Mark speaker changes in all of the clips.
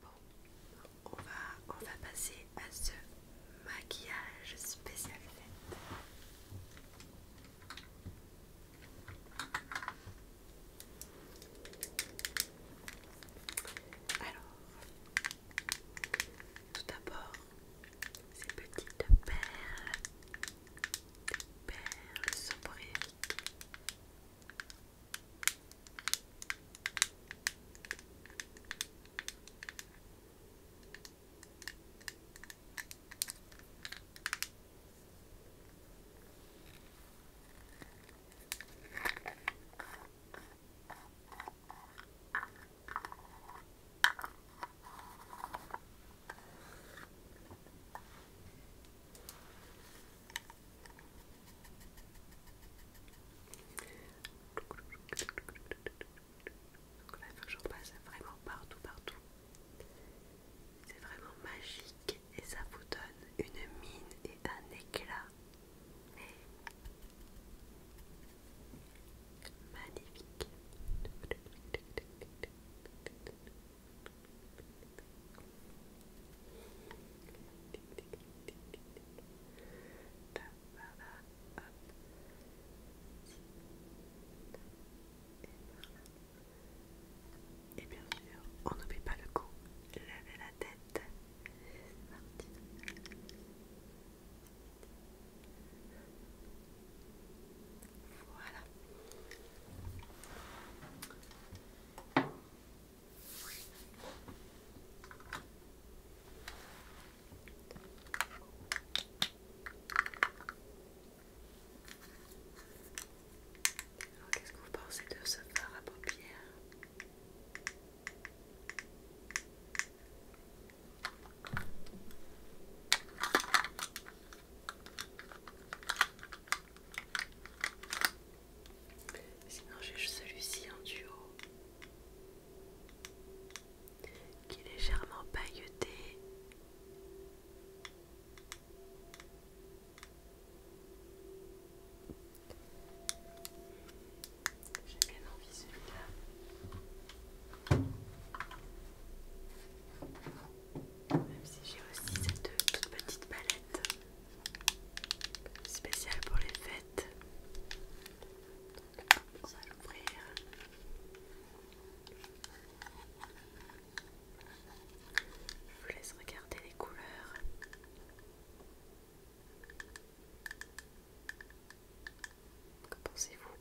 Speaker 1: Bon, on va, on va passer à ce maquillage spécial Alors, tout d'abord, ces petites perles, perles sobriétiques. Donc là, passe vraiment partout, partout. C'est vraiment magique et ça vous donne une mine et un éclat. Magnifique. Et bien sûr, on n'oublie pas le cou. Levez la tête. Voilà. qu'est-ce que vous pensez de ce fard à paupières Sinon j'ai celui-ci en duo qui est légèrement pailleté. J'ai bien envie celui-là. Même si j'ai aussi cette toute petite palette spéciale pour les fêtes. Donc, va l'ouvrir. Je vous laisse regarder les couleurs. Que pensez-vous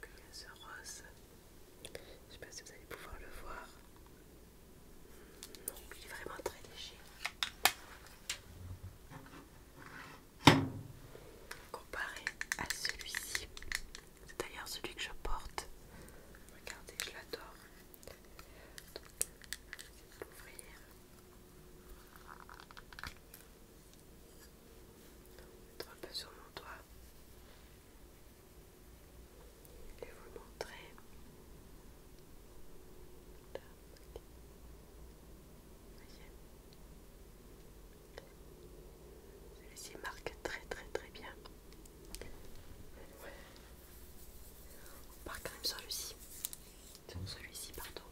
Speaker 1: Je ne rose Je sais pas si vous allez pouvoir le voir. Non, il est vraiment très léger. Comparé à celui-ci, c'est d'ailleurs celui que je porte. Regardez, je l'adore. Donc, ouvrir. Mettre un peu sur mon doigt et vous montrer. Là, Voyez, celui-ci marque très très très bien. On part quand même sur celui ci sur celui-ci, pardon.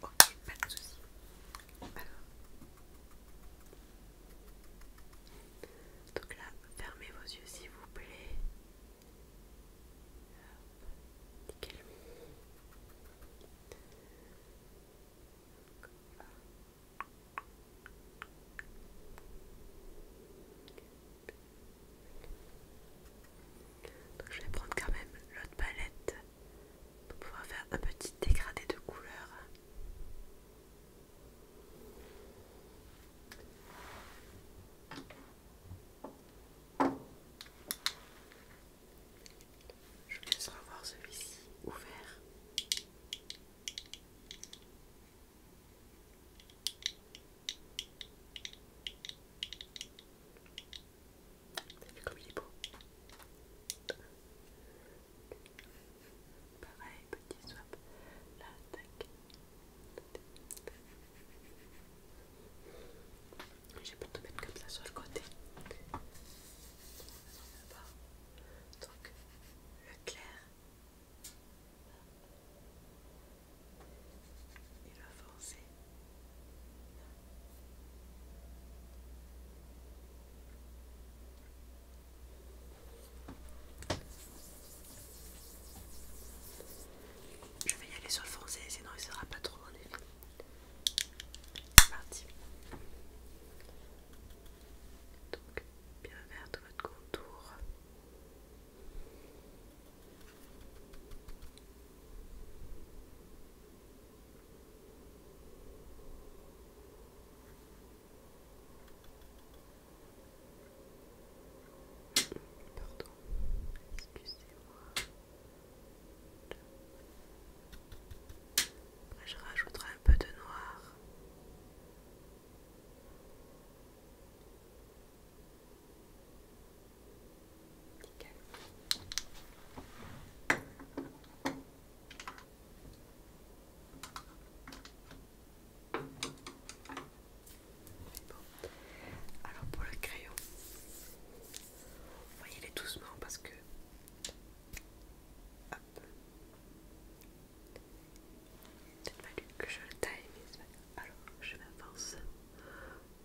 Speaker 1: Ok, pas de soucis. Alors. Donc là, fermez vos yeux s'il vous plaît. Nickel. Voilà je vais prendre quand même l'autre palette pour pouvoir faire un petit dégradé de couleur. Je vais laisser voir celui-ci ouvert. Ça fait comme il est beau Pareil, petit swap. Là, tac. J'ai peur de mettre comme ça sur le côté. Donc, le clair il va foncé. Je vais y aller sur le foncé, sinon il ne sera pas trop en effet. C'est parti. Donc, bien vers tout votre contour. Pardon, excusez-moi. Après, je rajouterai un peu de noir alors pour le crayon, voyez les doucement parce que il être fallu que je le taille, mais alors je m'avance.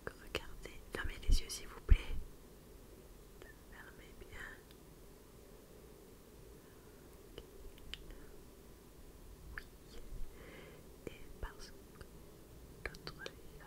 Speaker 1: Regardez, fermez les yeux s'il vous plaît. Fermez bien. Oui. Et parce que l'autre là.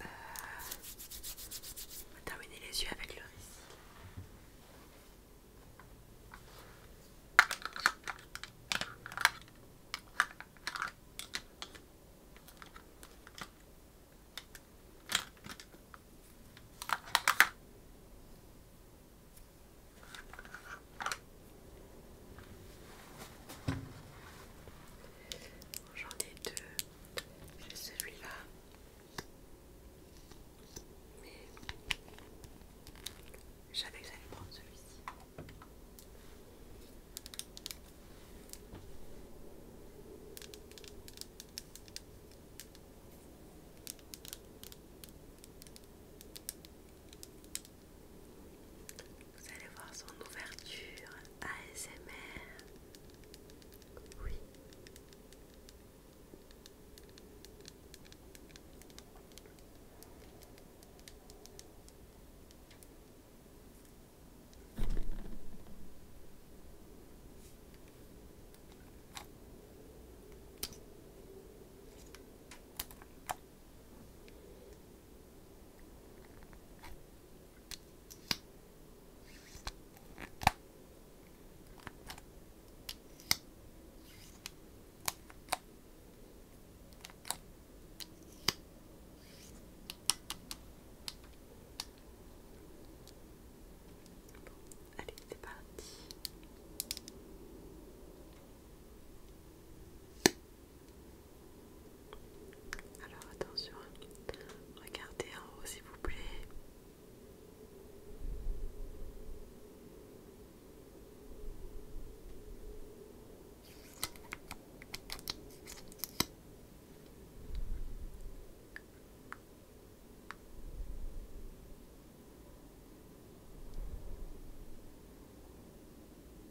Speaker 1: Euh, terminer les yeux avec le récit. J'en ai deux. J'ai celui-là. Mais j'avais essayé de prendre celui-ci. Vous allez voir son ouverture ASMR. Oui allez, c'est parti. Alors attention, regardez en haut s'il vous plaît.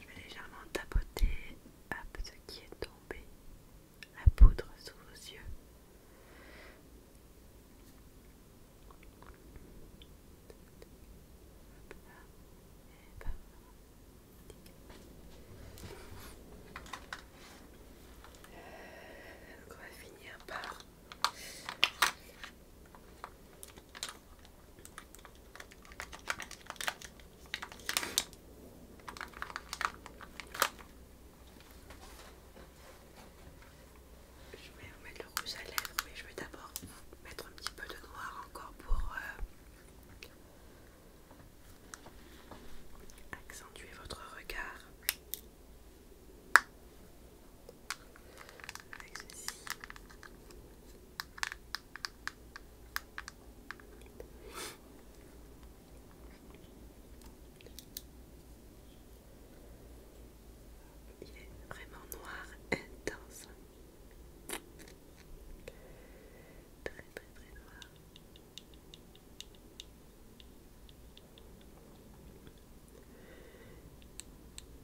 Speaker 1: je vais légèrement tapoter ce qui est tombé, la poudre sous vos yeux. va finir par je vais mettre le rouge à lèvres, mais je vais d'abord mettre un petit peu de noir encore pour euh, accentuer votre regard. Il est vraiment noir intense. Très très très noir.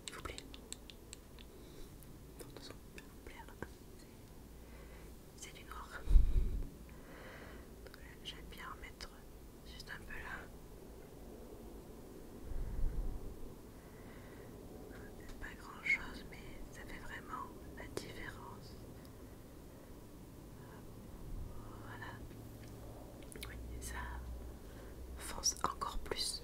Speaker 1: S'il vous plaît. C'est du noir. J'aime bien en mettre juste un peu là. C'est pas grand chose, mais ça fait vraiment la différence. Voilà. Oui, ça fonce encore plus.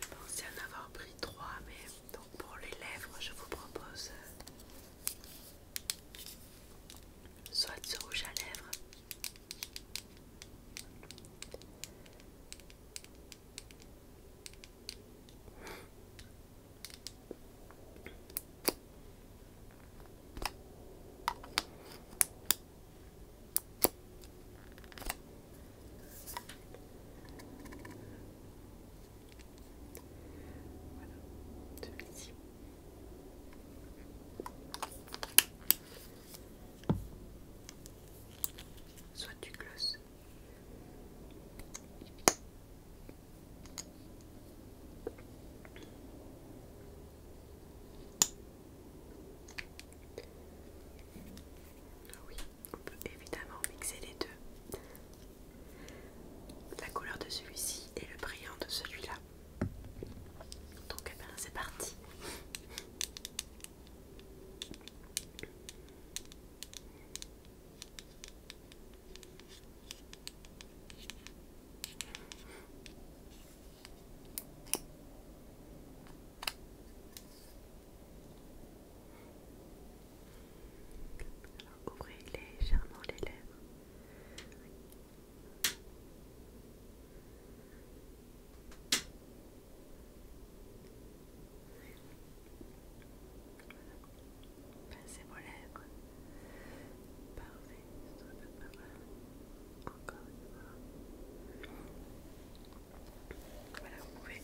Speaker 1: Je pensais en avoir pris trois, mais donc pour les lèvres, je vous propose euh, soit ce rouge à lèvres, voilà, celui-ci. Soit du gloss. Ah oui, on peut évidemment mixer les deux. La couleur de celui-ci et le brillant de celui-là. Donc eh ben, c'est parti ouvrez légèrement les lèvres. Passez vos lèvres. Parfait, encore une fois. Voilà, vous pouvez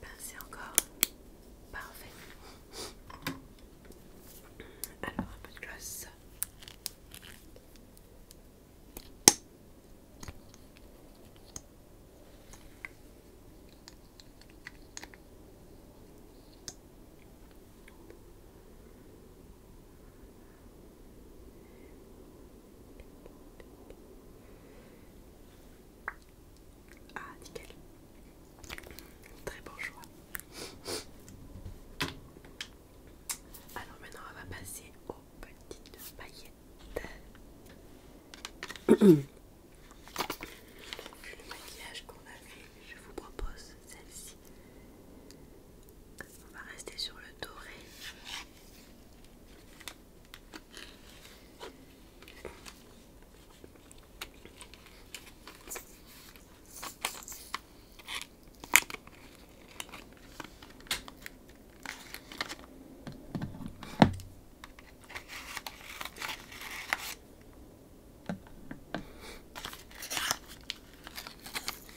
Speaker 1: pincer encore. Parfait. Alors, un peu de glace. Ah, nickel. Très bon choix. Alors maintenant, on va passer aux petites paillettes. Le maquillage qu'on a fait, je vous propose celle-ci. On va rester sur le doré.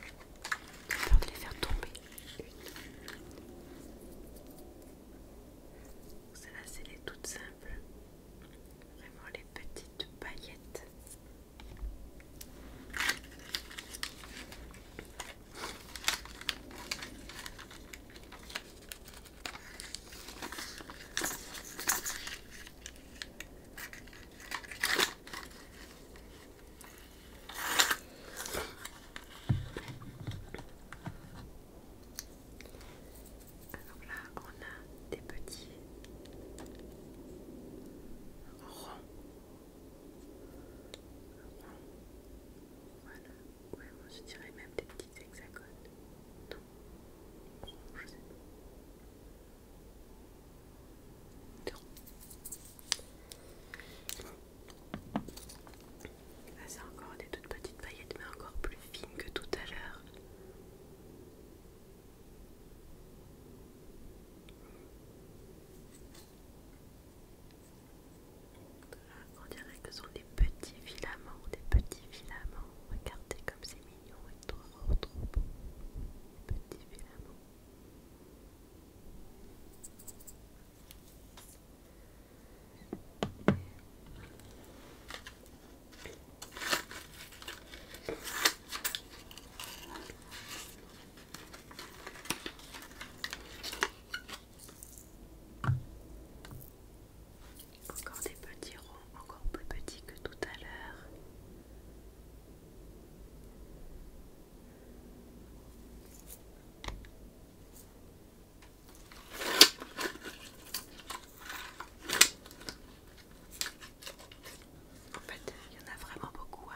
Speaker 1: J'ai peur de les faire tomber. Celle-là, c'est les toutes simples. Vraiment les petites paillettes. Alors là, on a des petits ronds. Voilà, ouais, on se dirait même des petits hexagones. Non, ronds, ça ah, c'est encore des toutes petites paillettes, mais encore plus fines que tout à l'heure. On dirait que ce sont des petits filaments, des petits filaments. Regardez comme c'est mignon et trop trop beau. petits filaments. Encore des petits ronds, encore plus petits que tout à l'heure. En fait, il y en a vraiment beaucoup.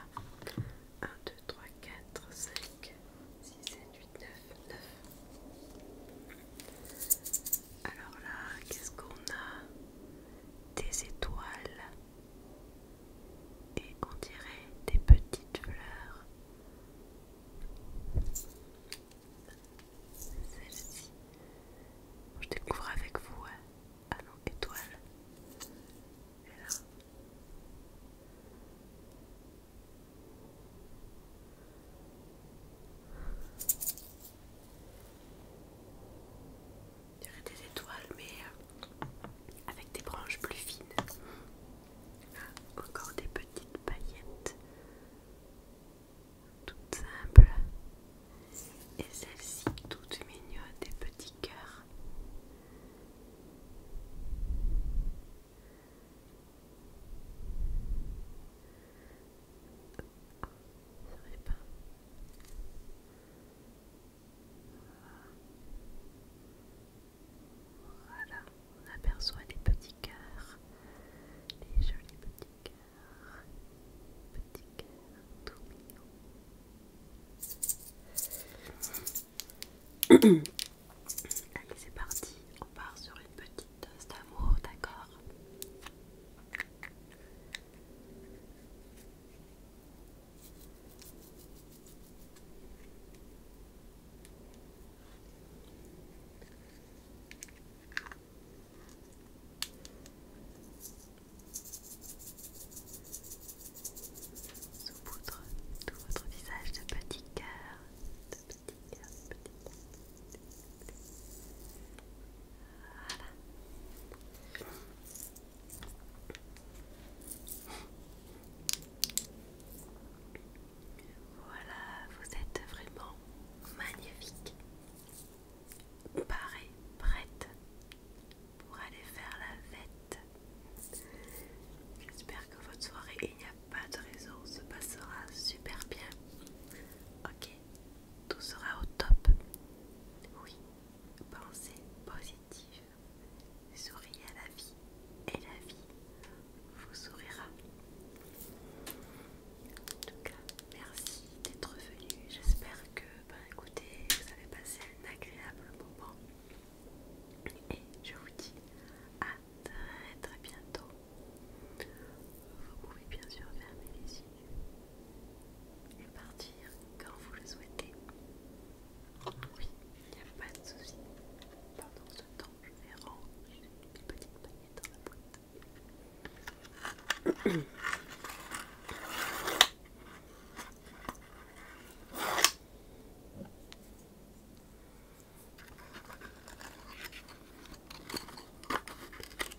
Speaker 1: 1, 2, 3, 4, 5, 6, 7, 8, 9, 9. Alors là, qu'est-ce qu'on a Des étoiles, et on dirait des petites fleurs. Celle-ci, je découvre avec vous. Hein. Ah étoile des étoiles, mais euh, avec des branches plus fines. Ah, encore des petites paillettes, toutes simples. Et celle-ci, toutes mignonnes, des petits cœurs. pas. Voilà, on aperçoit des petits cœurs, des jolis petits cœurs, petits cœurs tout mignons. Allez, c'est parti, on part sur une petite dose d'amour, d'accord sous-poudre tout votre visage de petit cœur, de petit cœur, de petit cœur, Voilà. Voilà, vous êtes vraiment magnifique. Parée, prête pour aller faire la fête. J'espère que votre soirée, il n'y a pas de raison, se passera super bien. Ok, tout sera au top. Oui, pensez positif. Souriez à la vie et la vie vous sourira. En tout cas, merci d'être venu. J'espère que, ben, écoutez, vous avez passé un agréable moment. Et je vous dis à très très bientôt. Vous pouvez bien sûr fermer les yeux et partir quand vous le souhaitez. Oui, il n'y a pas de souci. Pendant ce temps, je vais ranger les petites paillettes dans la boîte.